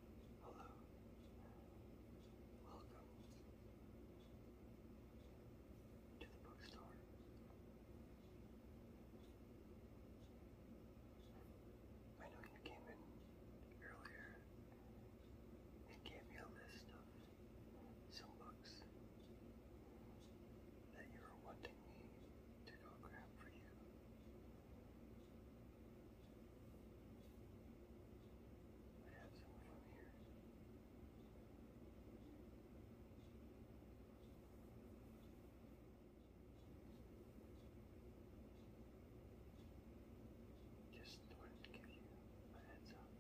Hello. Welcome to the bookstore. I know you came in earlier and gave me a list of some books that you were wanting me to go grab for you. I Just wanted to give you a heads up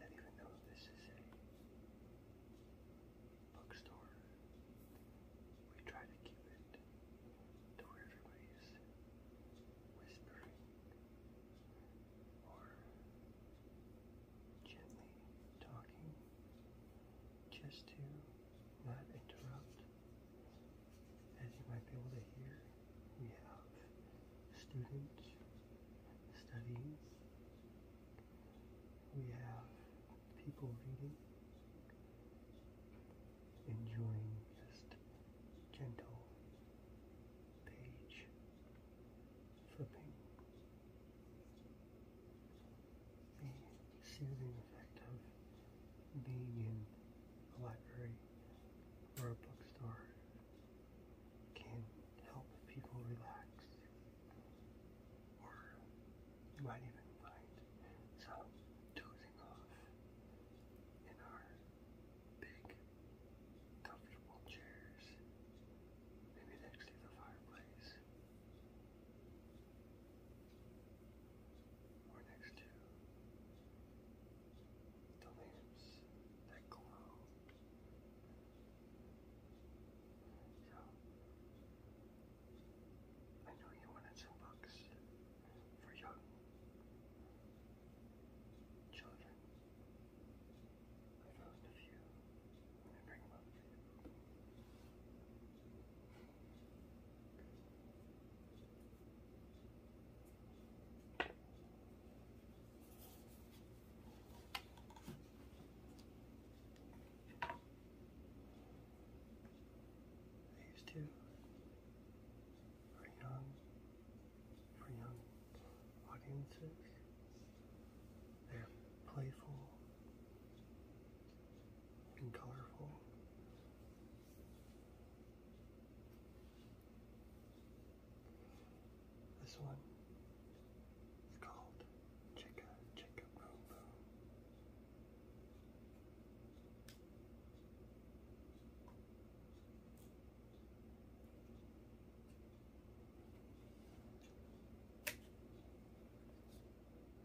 even though this is a bookstore, we try to keep it to where everybody's whispering or gently talking just to not interrupt. As you might be able to hear, we have students studying, we have people reading enjoying just gentle page flipping. The soothing effect of being in a library or a bookstore can help people relax. Or you might even find some dose everything off in our big, comfortable chairs, maybe next to the fireplace, or next to the lamps that glow. So, I know you wanted some books for young children. I found a few I bring them you for young, for young audiences. They're playful and colorful. This one is called Chicka Chicka Boom Boom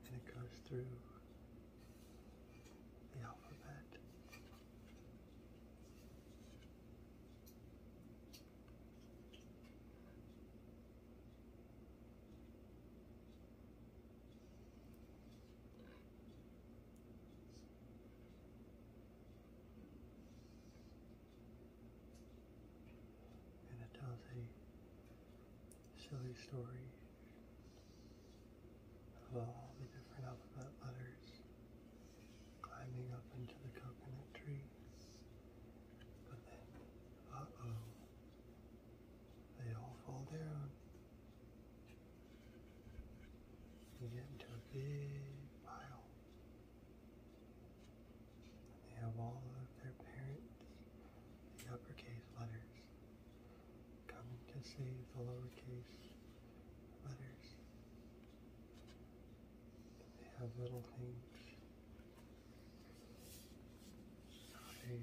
and it goes through the alphabet. And it tells a silly story of all the different alphabet letters climbing up into the coconut tree. But then, uh-oh, they all fall down. You get into a big pile. And they have all of their parents The uppercase letters come to save the lowercase letters. they have little things. They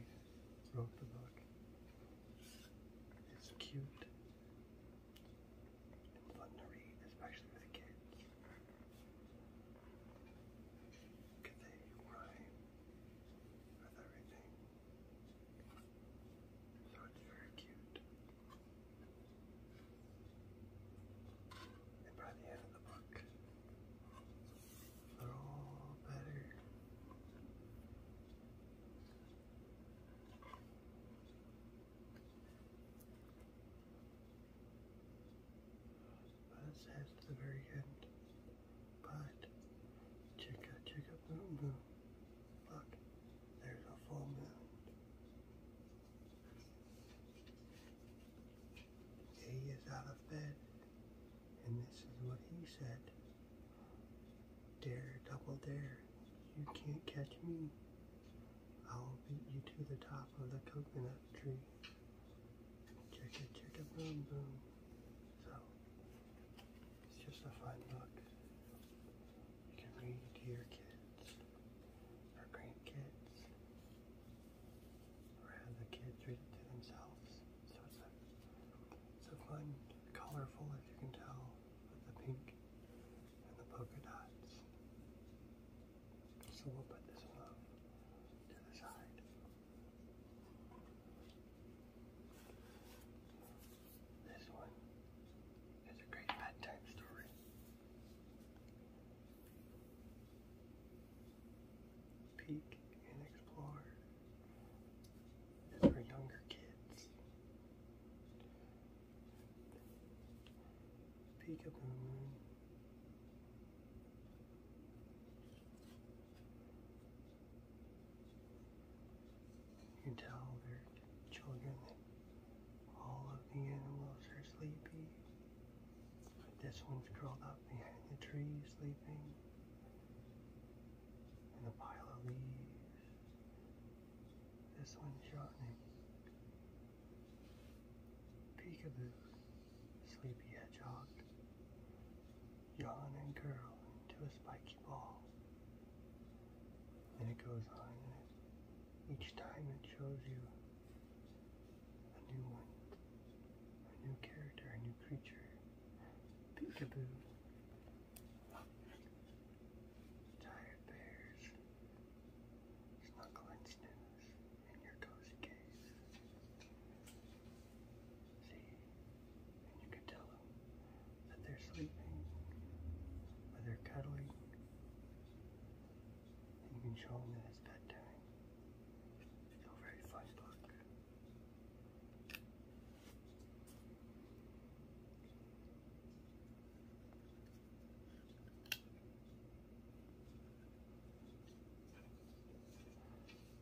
wrote the book. It's cute. fun to read, especially with kids. Because they rhyme with everything. So it's very cute. And by the end of the book, they're all better. That says at the very end. But check out, check out, boom, boom. Look, there's a full moon. He is out of bed, and this is what he said. Dare, double dare. You can't catch me. I'll beat you to the top of the coconut tree. Check it, check it, boom, boom. So, it's just a fun book. You can read to your kids, or grandkids, or have the kids read to themselves. So it's a, fun, colorful, if you can tell, the pink and the polka dots. So we'll put this one to the side. This one is a great bedtime story. Peek and explore is for younger kids. Peekaboo. You can tell their children that all of the animals are sleepy. But this one's curled up behind the tree sleeping in a pile of leaves. This one's shortening. Peekaboo, sleepy hedgehog. Yawn and curl into a spiky ball. And it goes on and each time it shows you a new one, a new character, a new creature. Peekaboo. Tired bears snuggling snooze in your cozy cave. See, and you can tell them that they're sleeping or they're cuddling. And you can show them that it's bedtime. It's a very fun book.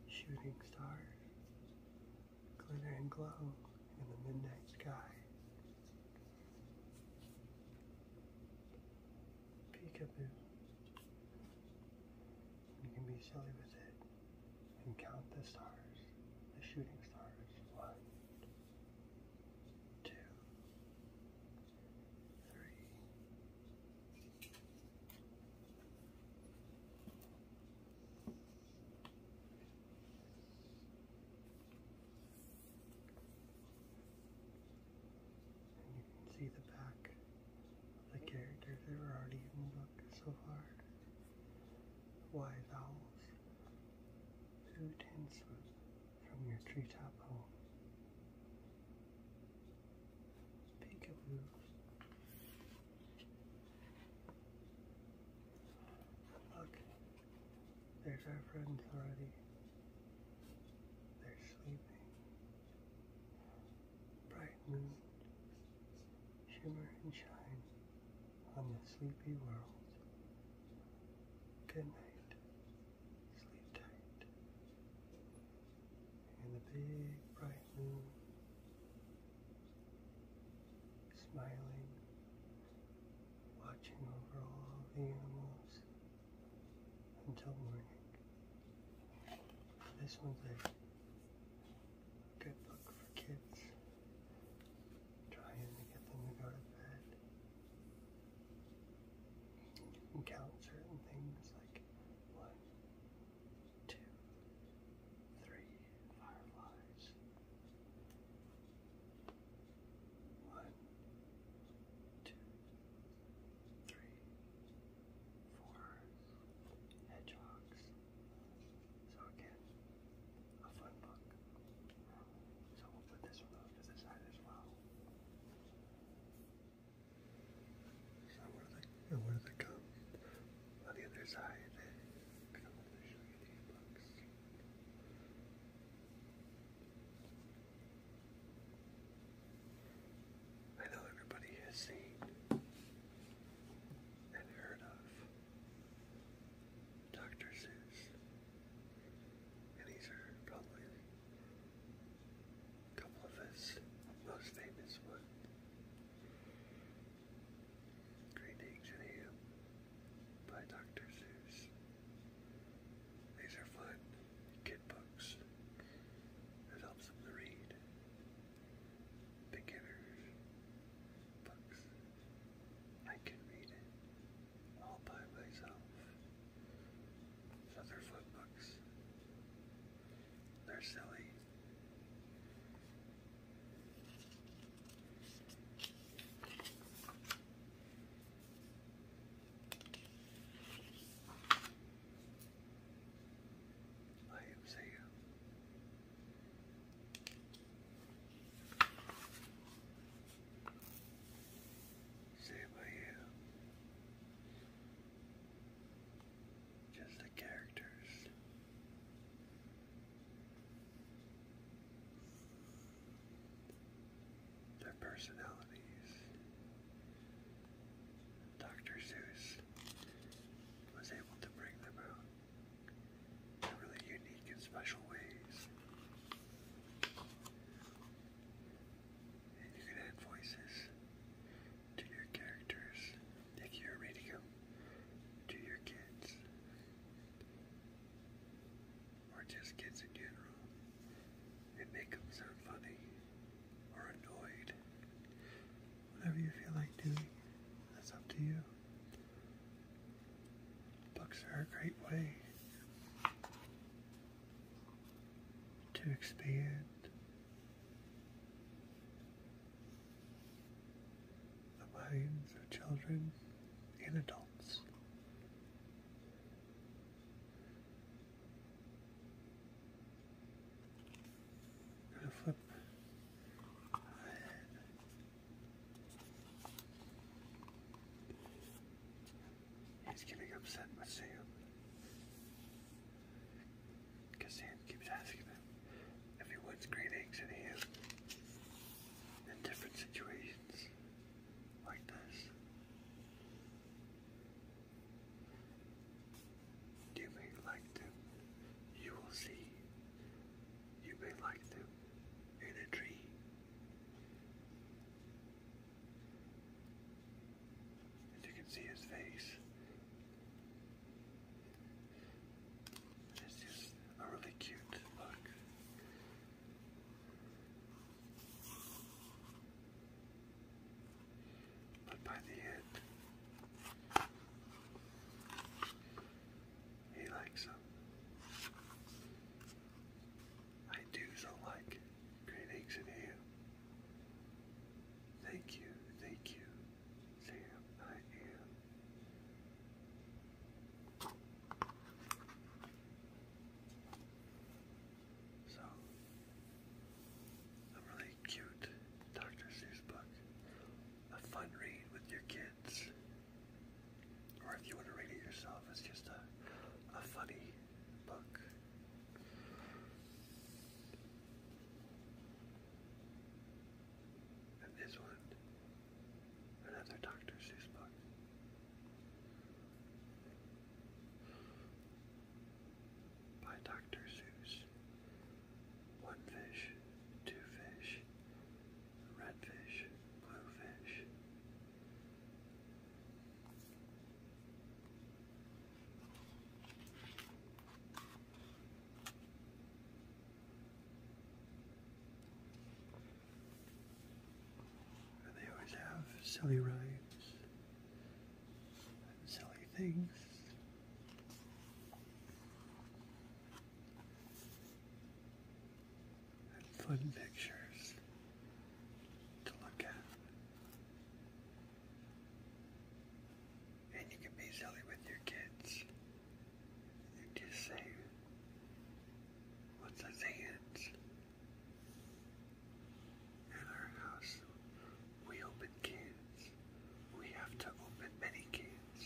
Shooting stars glitter and glow in the midnight sky. Peekaboo. You can be silly with it and count the stars, the shooting stars. One, two, three. And you can see the back of the characters that were already in so far wise owls suit henceforth from your treetop home. Speak of Look, there's our friends already. They're sleeping. Bright moon, shimmer and shine on the sleepy world. Good night. Sleep tight. And the big bright moon smiling, watching over all the animals until morning. This one's a good book for kids trying to get them to go to bed. You can count certain things like one, two, three fireflies. One, two, three, four hedgehogs. So again, a fun book. So we'll put this one to the side as well. So where they, and come on the other side, I know everybody has seen and heard of Dr. Seuss. And these are probably a couple of his most famous ones. Green Eggs and Ham by Dr. Seuss. These are fun kid books. It helps them to read. Beginners books. I can read it all by myself. So they're books. They're silly. I am Sam. Say by you. Just the characters. Their personalities. Dr. Seuss was able to bring them out in really unique and special ways. And you can add voices to your characters if you're reading to your kids or just kids in general and make them sound funny or annoyed. Whatever you feel like doing, that's up to you. Books are a great way to expand the minds of children and adults. gonna flip He's getting upset with Sam. Because Sam keeps asking him if he wants green eggs and ham in different situations like this. You may like them. You will see. You may like them and a tree. And you can see his face. It's just a really cute look. But by the end, he likes them. I do so like great eggs and ham. Thank you, thank you, Sam. I am. So, a really cute Dr. Seuss book. A fun read with your kids. Or if you want to read it yourself, it's just a, a funny book. And this one, another Dr. Seuss book. By Dr. Seuss. One fish, two fish, Red fish, blue fish. they always have silly rhymes and silly things and fun pictures to look at. And you can be silly with your kids and just say, What's his hands? At our house, we open cans. We have to open many cans.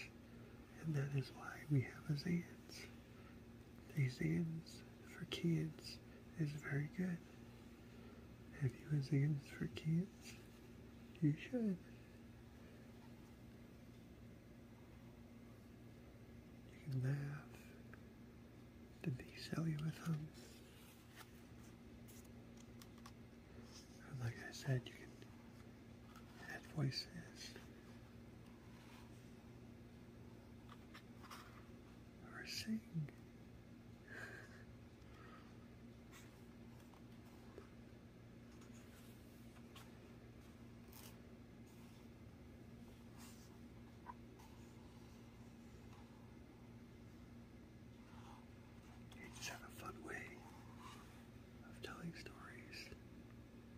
And that is why we have his hands. These Exams for Kids is very good. If you exams for kids? You should. You can laugh. Did they sell you with them? like I said, you can add voices or sing. You just have a fun way of telling stories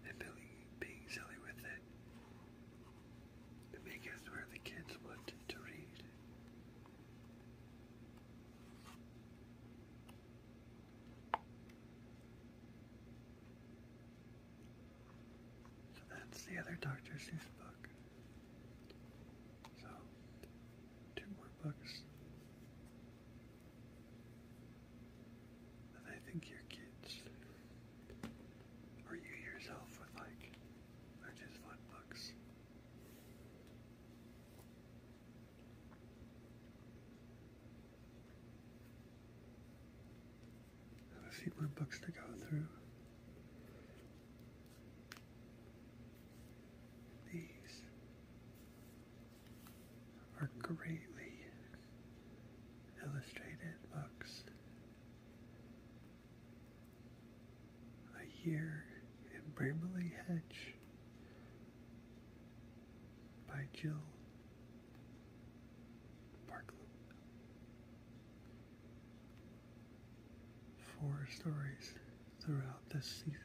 and being, being silly with it. It makes where the kids want to read. So that's the other Dr. Seuss book. So, two more books. I think your kids or you yourself would like, just fun books. I have a few more books to go through. These are greatly illustrated books. A Year in Bramley Hedge by Jill Barklow. Four stories throughout the seasons.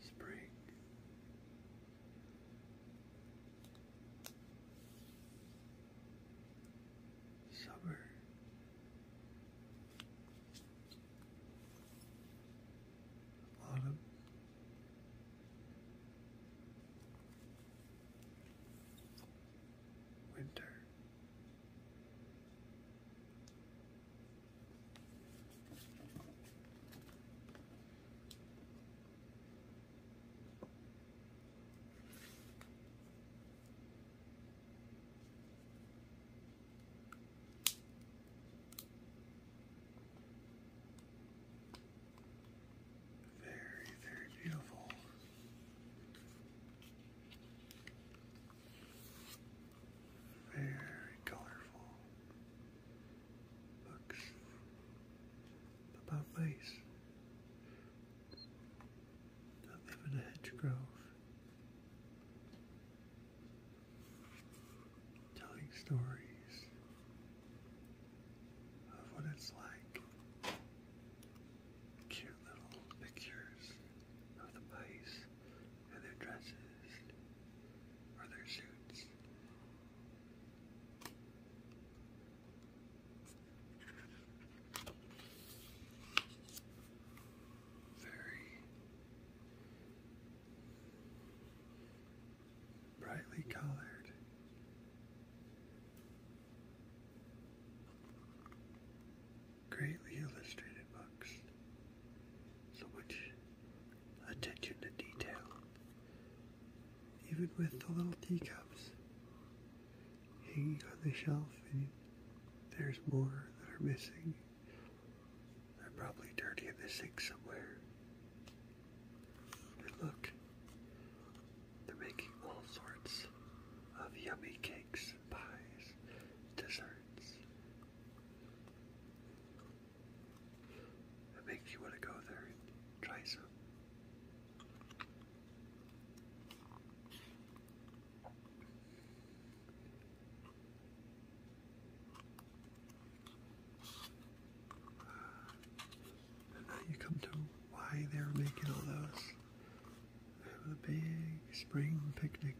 Spring. Summer bottom. Winter. Very, very beautiful. Very colorful. Looks about nice. I live in a hedge telling stories of what it's like. Cute little pictures of the mice and their dresses or their suits very brightly colored. Greatly illustrated books. So much attention to detail. Even with the little teacups hanging on the shelf, and there's more that are missing. They're probably dirty in the sink somewhere. look, they're making all sorts of yummy cakes, pies, desserts. It makes you want to go there and try some now you come to why they were making all those. Having a big spring picnic.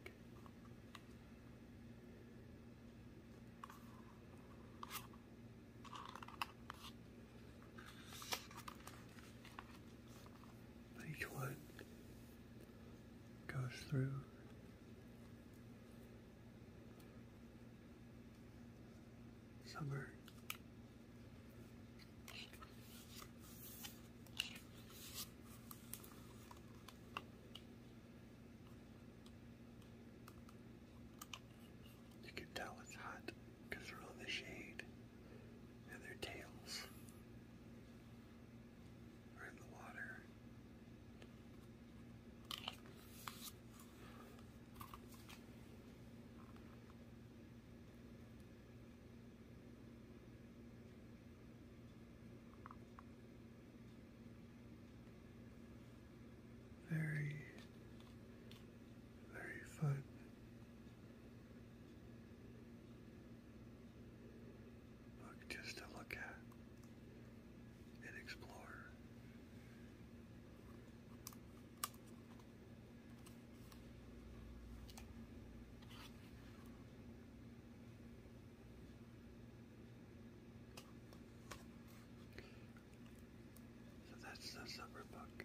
each one goes through Summer. You can tell it's hot because they're on the shade and their tails or in the water. Very, very fun but just to look at and explore. So that's the summer book.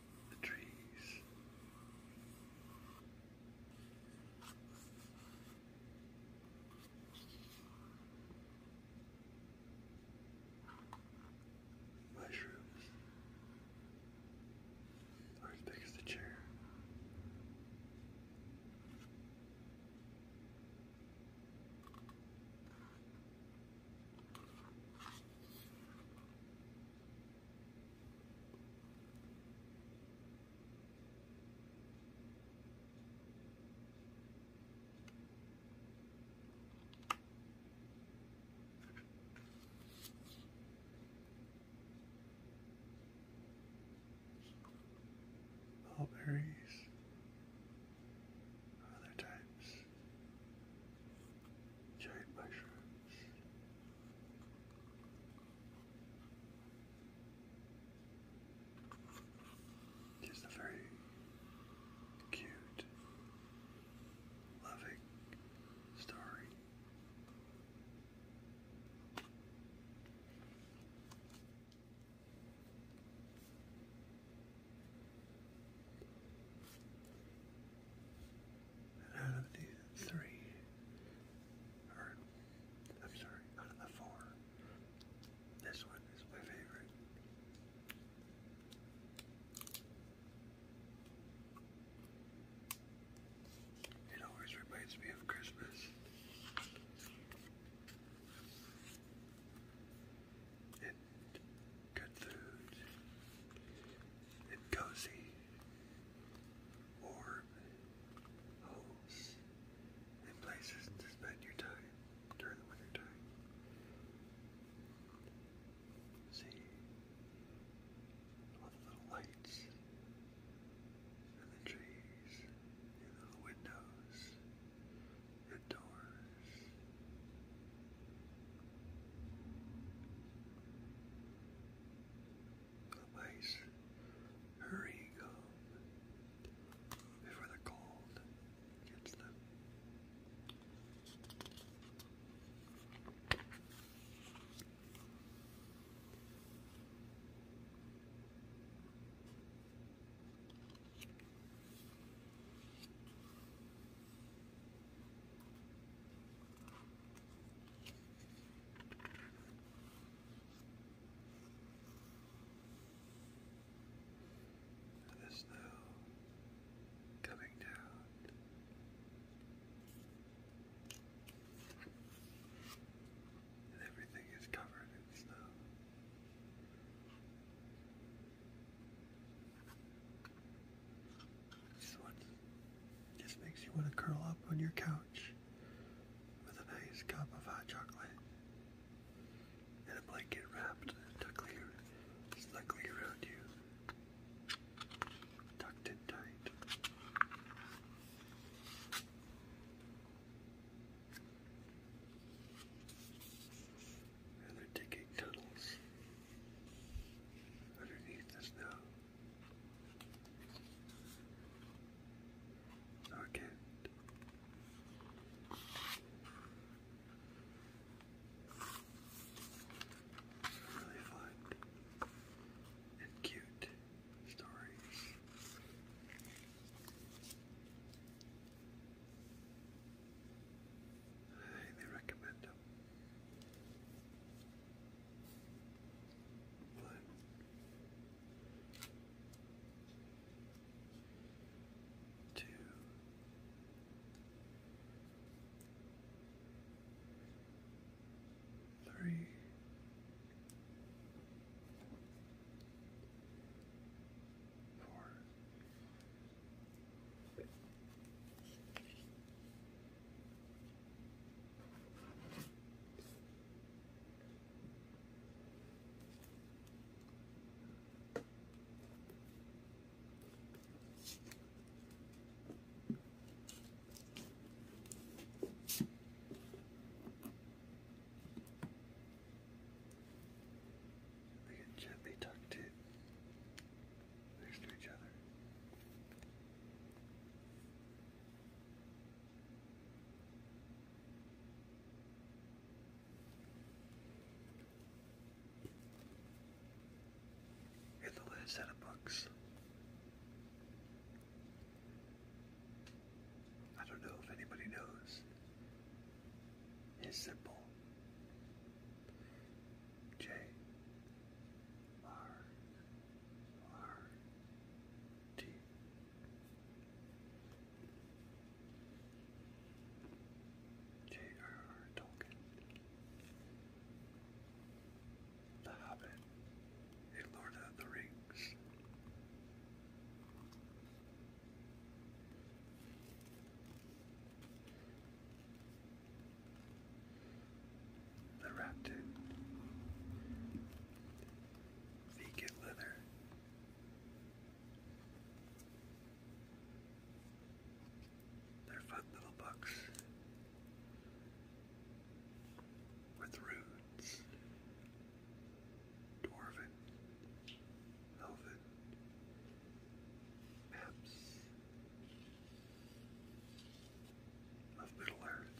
the trees. Mushrooms are as big chair. Mulberries, other types, giant Just a very cute, loving story out of the three, or I'm sorry, out of the four, this one is my favorite. It always reminds me of Christmas. And good food. And cozy warm homes and places to spend your time during the winter time. See all the little lights and the trees the little windows and doors the mice hurrying before the cold gets them. And the snow coming down. And everything is covered in snow. This one just makes you want to curl up on your couch with a nice cup of hot chocolate and a blanket wrapped tuckly, snugly around you, tucked in tight. And they're digging tunnels underneath the snow. Second. Really fun and cute stories. I highly recommend them. But two three four they get gently tucked in next to each other in the last set of books. I don't know if anybody knows. His simple J R R T. J.R.R. Tolkien. The Hobbit, a Lord of the Rings the raptor, vegan leather. They're fun little bucks with runes, dwarven, elven, maps, of Middle Earth.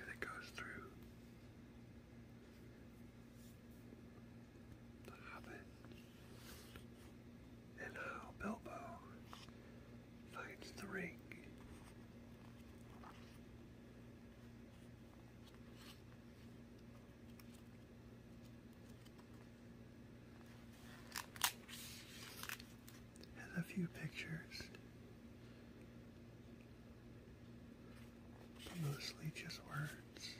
And it goes through the Hobbit and how Bilbo finds the ring has a few pictures, mostly just words.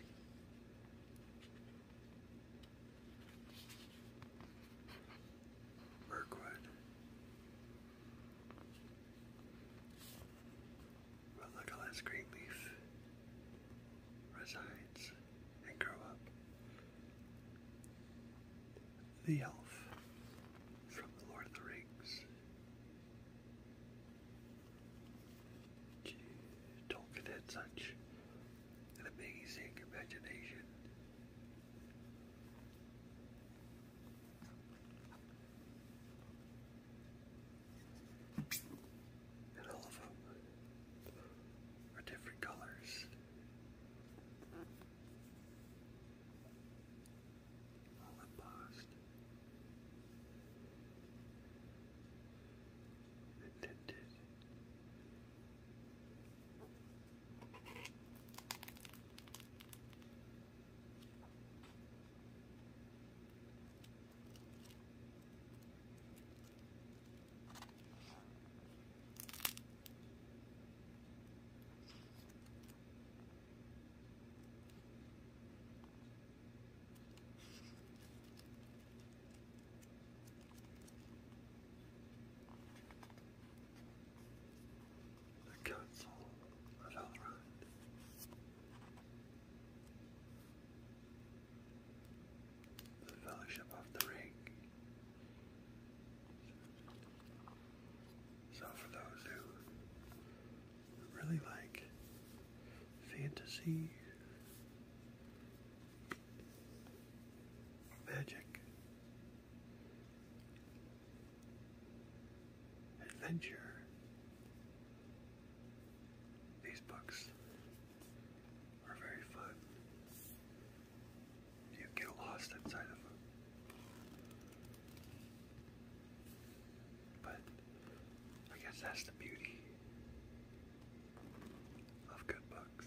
Berkwood but look at green leaf resides and grow up. The elf from the Lord of the Rings. Tolkien had such an amazing imagination all of them are different colors. All embossed and the Council of the Fellowship of the Ring. So, for those who really like fantasy, magic, adventure. These books are very fun. You get lost inside them. But I guess that's the beauty of good books.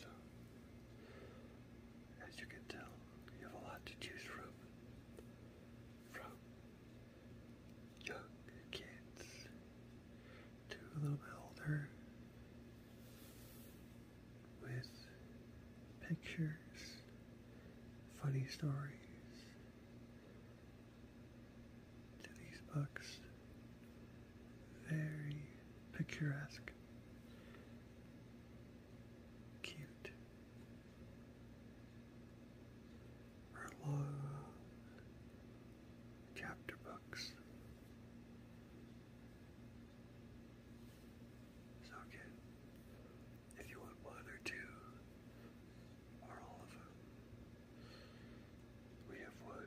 So, as you can tell, you have a lot to choose from. From young kids to a little bit older with pictures, funny stories to these books very picturesque. Cute. Her long chapter books. So again, if you want one or two, or all of them, we have one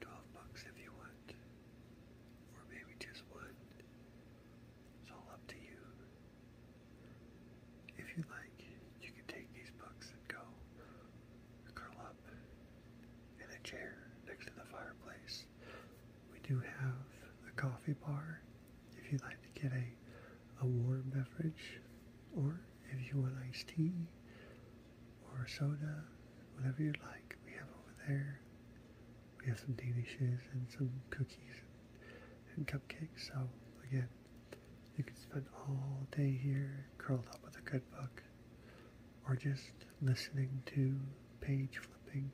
twelve bucks if you want, or maybe just one. It's all up to you. If you like, you can take these books and go curl up in a chair next to the fireplace. We do have a coffee bar if you'd like to get a, a warm beverage, or if you want iced tea, or soda, whatever you like. We have over there. We have some danishes and some cookies and, and cupcakes. So again, you can spend all day here curled up with a good book or just listening to page flipping.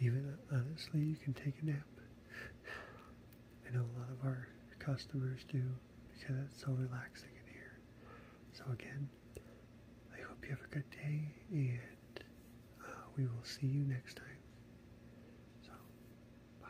Even honestly, you can take a nap. I know a lot of our customers do because it's so relaxing in here. So again, I hope you have a good day, and uh, we will see you next time. So, bye.